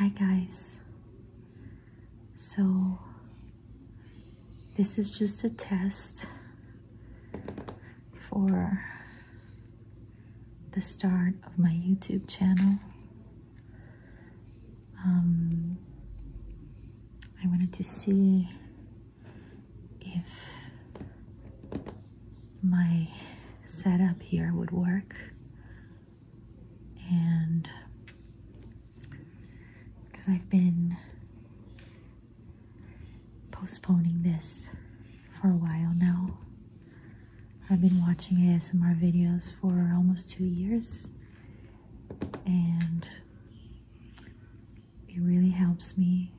Hi guys. So this is just a test for the start of my YouTube channel. Um I wanted to see if my setup here would work and because I've been postponing this for a while now. I've been watching ASMR videos for almost two years and it really helps me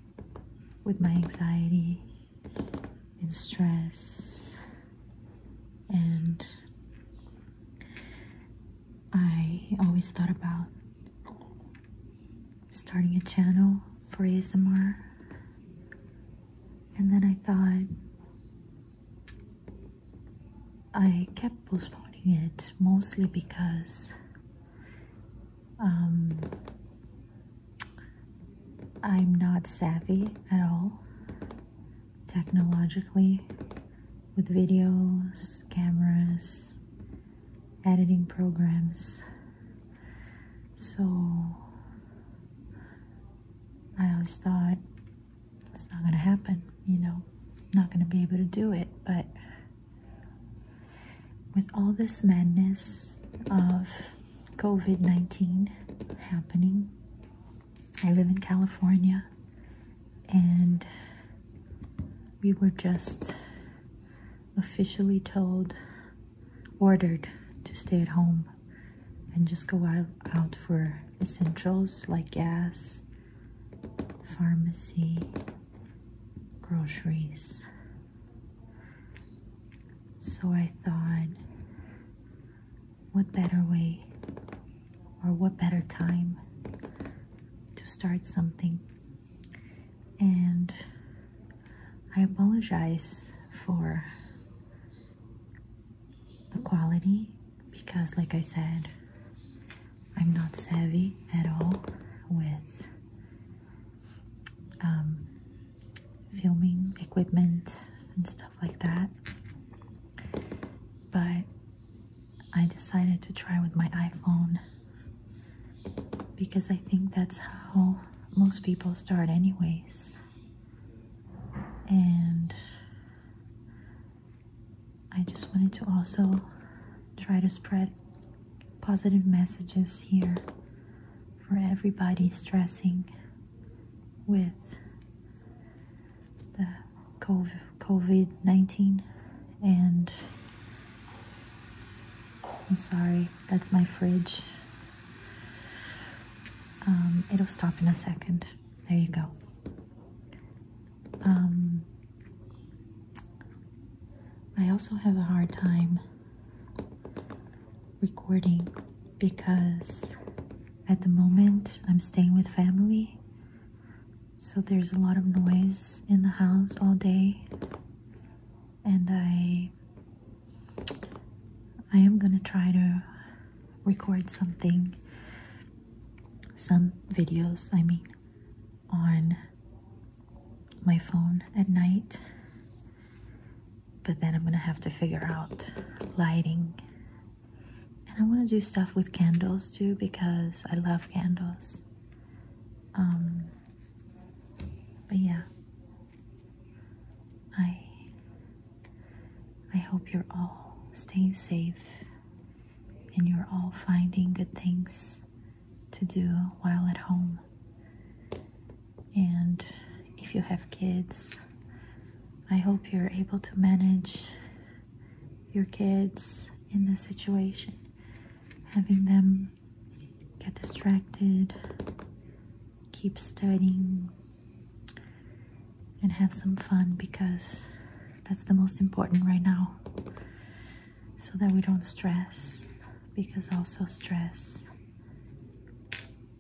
with my anxiety and stress and I always thought about starting a channel for ASMR and then I thought I kept postponing it mostly because um, I'm not savvy at all technologically with videos, cameras, editing programs. So I always thought it's not going to happen, you know, not going to be able to do it. But with all this madness of COVID 19 happening, I live in California and we were just officially told, ordered to stay at home and just go out, out for essentials like gas, pharmacy, groceries. So I thought, what better way or what better time to start something? And I apologize for the quality because like I said I'm not savvy at all with um, filming equipment and stuff like that but I decided to try with my iPhone because I think that's how most people start, anyways. And I just wanted to also try to spread positive messages here for everybody stressing with the COVID 19 and I'm sorry, that's my fridge. Um, it'll stop in a second. There you go. Um, I also have a hard time recording because at the moment I'm staying with family. So there's a lot of noise in the house all day and I I am gonna try to record something some videos I mean on my phone at night but then I'm gonna have to figure out lighting and I want to do stuff with candles too because I love candles um, but yeah, I I hope you're all staying safe and you're all finding good things to do while at home. And if you have kids, I hope you're able to manage your kids in this situation, having them get distracted, keep studying, and have some fun because that's the most important right now. So that we don't stress, because also stress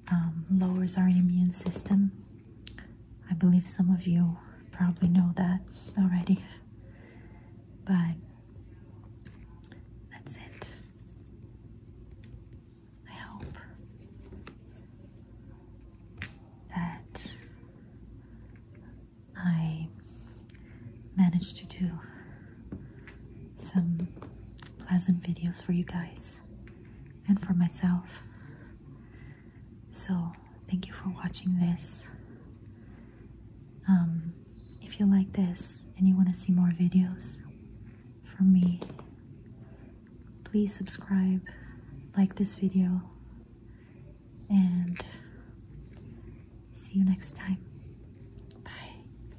um, lowers our immune system I believe some of you probably know that already, but that's it. I hope that I managed to do some pleasant videos for you guys and for myself. So, thank you for watching this. Um, if you like this and you want to see more videos from me, please subscribe, like this video, and see you next time. Bye.